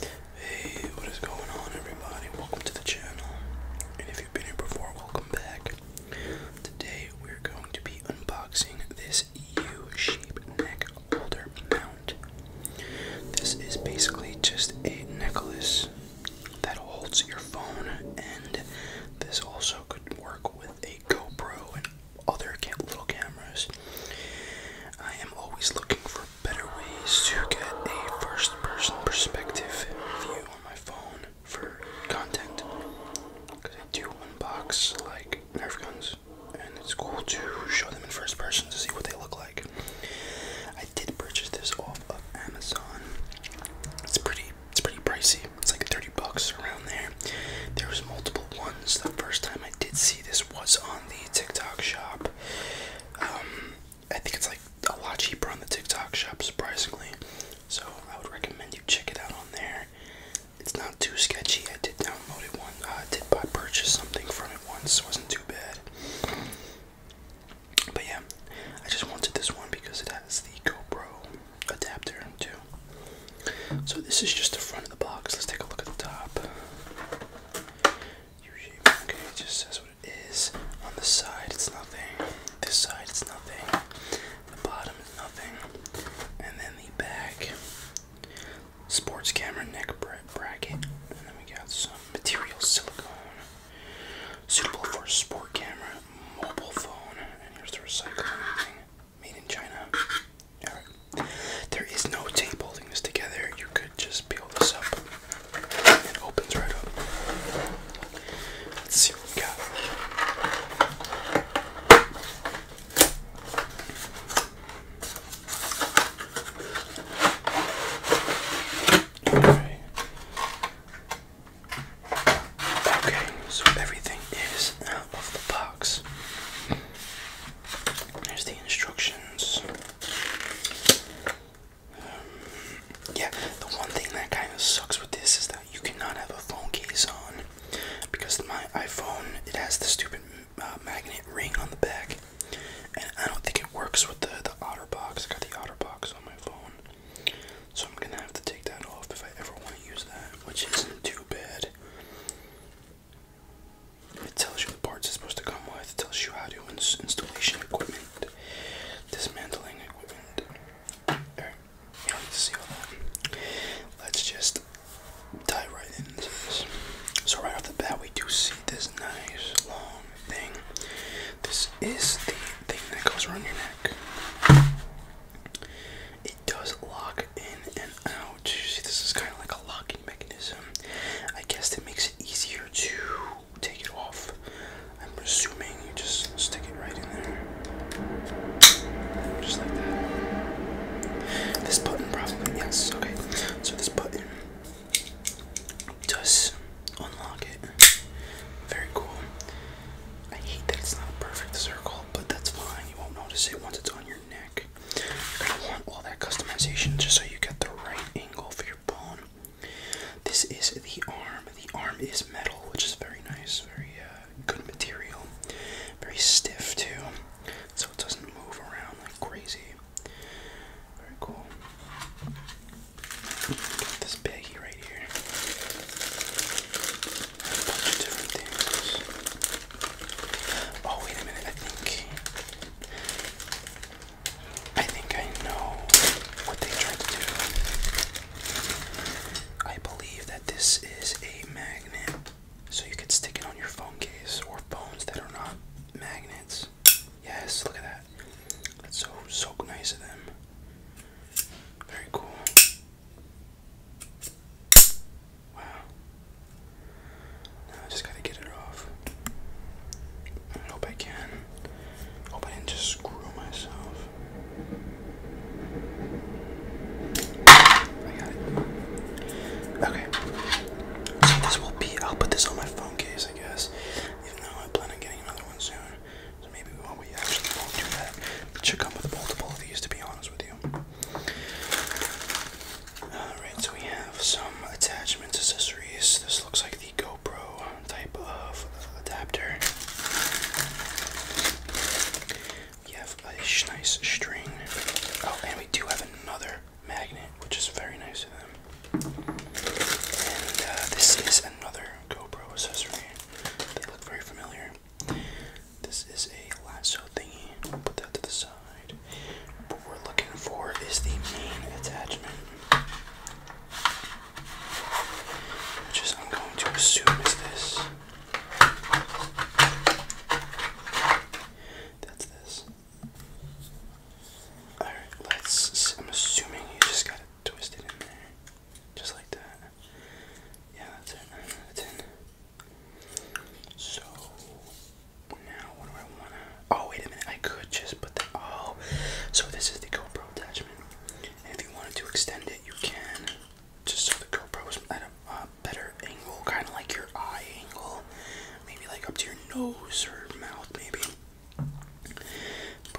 Hey, what is going on everybody? Welcome to the channel. And if you've been here before, welcome back. Today we're going to be unboxing this U-shaped neck holder mount. This is basically just a necklace that holds your phone and this also could work with a GoPro and other little cameras. I am always looking for better ways to get a first person perspective view on my phone for content. Because I do unbox like Nerf guns, and it's cool to show them in first person to see what they look like. I did purchase this off of Amazon. It's pretty it's pretty pricey. It's like 30 bucks around there. There was multiple ones. The first time I did see this was on the TikTok shop. Um, I think it's like a lot cheaper on the TikTok shop, surprisingly. So I would recommend you check it out on there. It's not too sketchy. I did download it one. I uh, did buy purchase something from it once. wasn't too bad. But yeah, I just wanted this one because it has the GoPro adapter too. So this is just the front of the box. Let's take a look at the top. U shape. Okay, it just says what it is. On the side, it's nothing. This side, it's nothing. The bottom is nothing. And then the back. Sports camera neck bracket. And then we got some material silicone. Suitable for a sport camera, mobile phone, and here's the recycling made in China. There is no tape holding this together. You could just peel this up. It opens right up. Let's see what we got. Okay. okay, so everything is out of the box. There's the instructions. Um, yeah, the one thing that kind of sucks with this is that you cannot have a phone case on because my iPhone it has the stupid uh, magnet ring on the back, and I don't think it works with the the OtterBox. I got the OtterBox on my phone, so I'm gonna have to take that off if I ever want to use that, which isn't too bad. It tells you the parts it's supposed to come with. It tells you how to ins installation equipment, dismantling equipment. Let's just dive right into this. So right off the bat, we do see this nice long thing. This is the thing that goes around your neck. It does lock in and out. See, this is kind of like a locking mechanism. I guess that makes it easier to take it off. I'm assuming you just stick it right in there. Just like that. This button, probably, yes, okay. So, this button does unlock it. Very cool. I hate that it's not a perfect circle but that's fine. You won't notice it once it's on your neck. You're gonna want all that customization just so you get the right angle for your bone. This is the arm. The arm is metal, which is very nice, very uh, good material, very stiff too, so it doesn't move around like crazy. Very cool. this baggie right here. Oh wait a minute, I think I think I know what they tried to do. I believe that this is a magnet. So you could stick it on your phone case or phones that are not magnets. Yes, look at that. That's so so nice of them. Very cool. Wow. Now I just gotta get it off. I hope I can. Hope I didn't just screw myself. I got it. Okay. So this will be. I'll put this on my phone case, I guess. Even though I plan on getting another one soon maybe we actually won't do that. It should come with multiple of these, to be honest with you. Alright, so we have some attachments, accessories. This looks like the GoPro type of adapter. We have a nice string. Oh, and we do have another magnet, which is very nice of them. And uh, this is another GoPro accessory. They look very familiar. This is a lasso thingy. put that to the side. What we're looking for is the main attachment, which I'm going to assume is this. That's this. Alright, let's. I'm assuming you just got to twist it in there. Just like that. Yeah, that's it. That's it. So now what do I wanna oh wait a minute, I could just put that oh so this is the GoPro attachment. if you wanted to extend it you can just so the GoPro is at a better angle, kinda like your eye angle, maybe like up to your nose or mouth maybe. But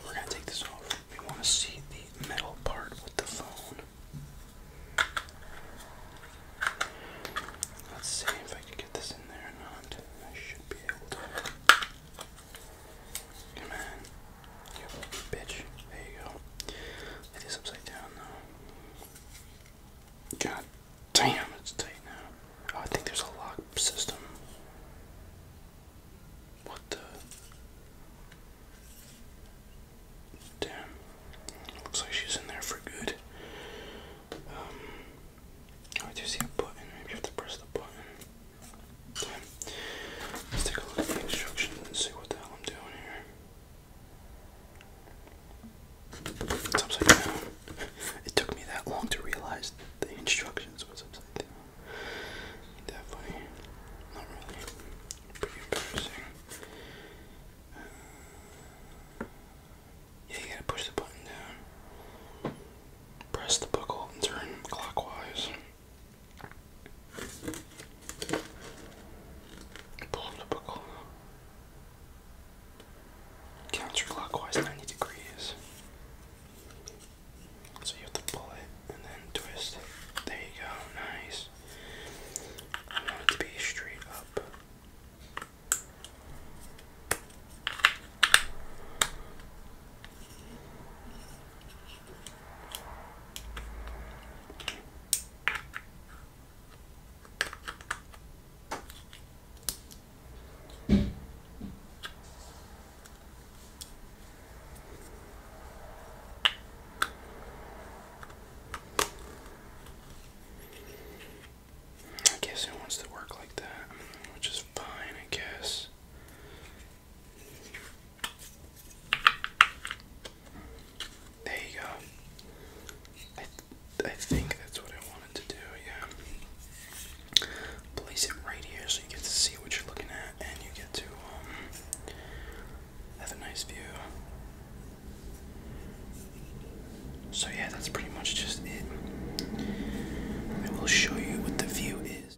we're gonna take this off. We wanna see the metal part with the phone. Let's see if I can get this in there or not. I should be able to. Come on. bitch. There you go. It is upside down though. God damn, it's tight now. Oh, I think there's a lock system. What the? Damn. Looks like she's in there for good. Um, I do see a button. Maybe you have to press the button. Let's take a look at the instructions and see what the hell I'm doing here. It's upside down. It took me that long to realize the instructions was upside down that funny? Not really. Pretty embarrassing. yeah, you gotta push the button down. Press the buckle and turn clockwise. Pull the buckle. Counterclockwise 90 degrees. So you have to pull it and then twist. There you go, nice. I want it to be straight up. I guess it wants to work like that, which is fine, I guess. There you go. I, I think that's what I wanted to do, yeah place it right here so you get to see what you're looking at and you get to um, have a nice view. So, yeah, that's pretty much just it. I will show you what the view is.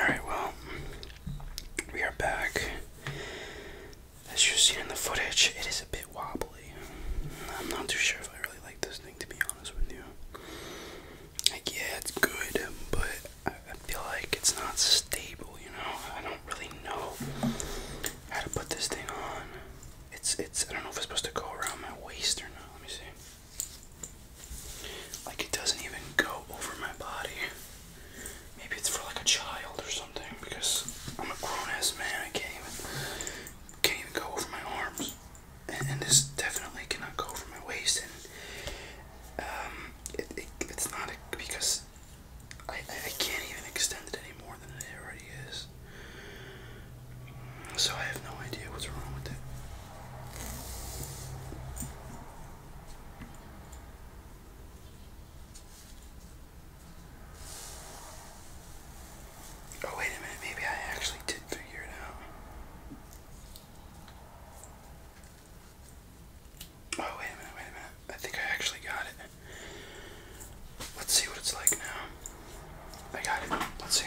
Alright, well, we are back. As you've seen in the footage, it is a bit wobbly. I'm not too sure if I really like this thing, to be honest with you. Like, yeah, it's good, but I feel like it's not stable, you know? I don't really know how to put this thing on. It's, it's, I don't know if it's supposed to go around my waist or not. Let me see. Like it doesn't even go over my body. Maybe it's for like a child or something because I'm a grown ass man. I can't even can't even go over my arms, and, this definitely cannot go over my waist. And um, it, it, it's not a, because I, I I can't even extend it any more than it already is. So I have no idea what's wrong with it. Oh, wait a minute, maybe I actually did figure it out. Oh, wait a minute, wait a minute. I think I actually got it. Let's see what it's like now. I got it. Let's see.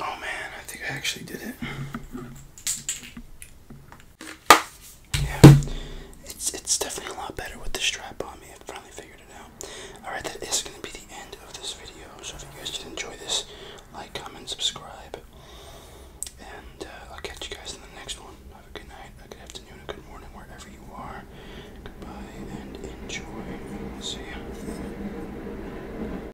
Oh man, I think I actually did it. Yeah, it's it's definitely a lot better with the strap on me. I finally figured it out. Alright, that is going to be the end of this video. So if you guys did enjoy this, like, comment, subscribe. And uh, I'll catch you guys in the next one. Have a good night, a good afternoon, a good morning, wherever you are. Goodbye and enjoy. See ya.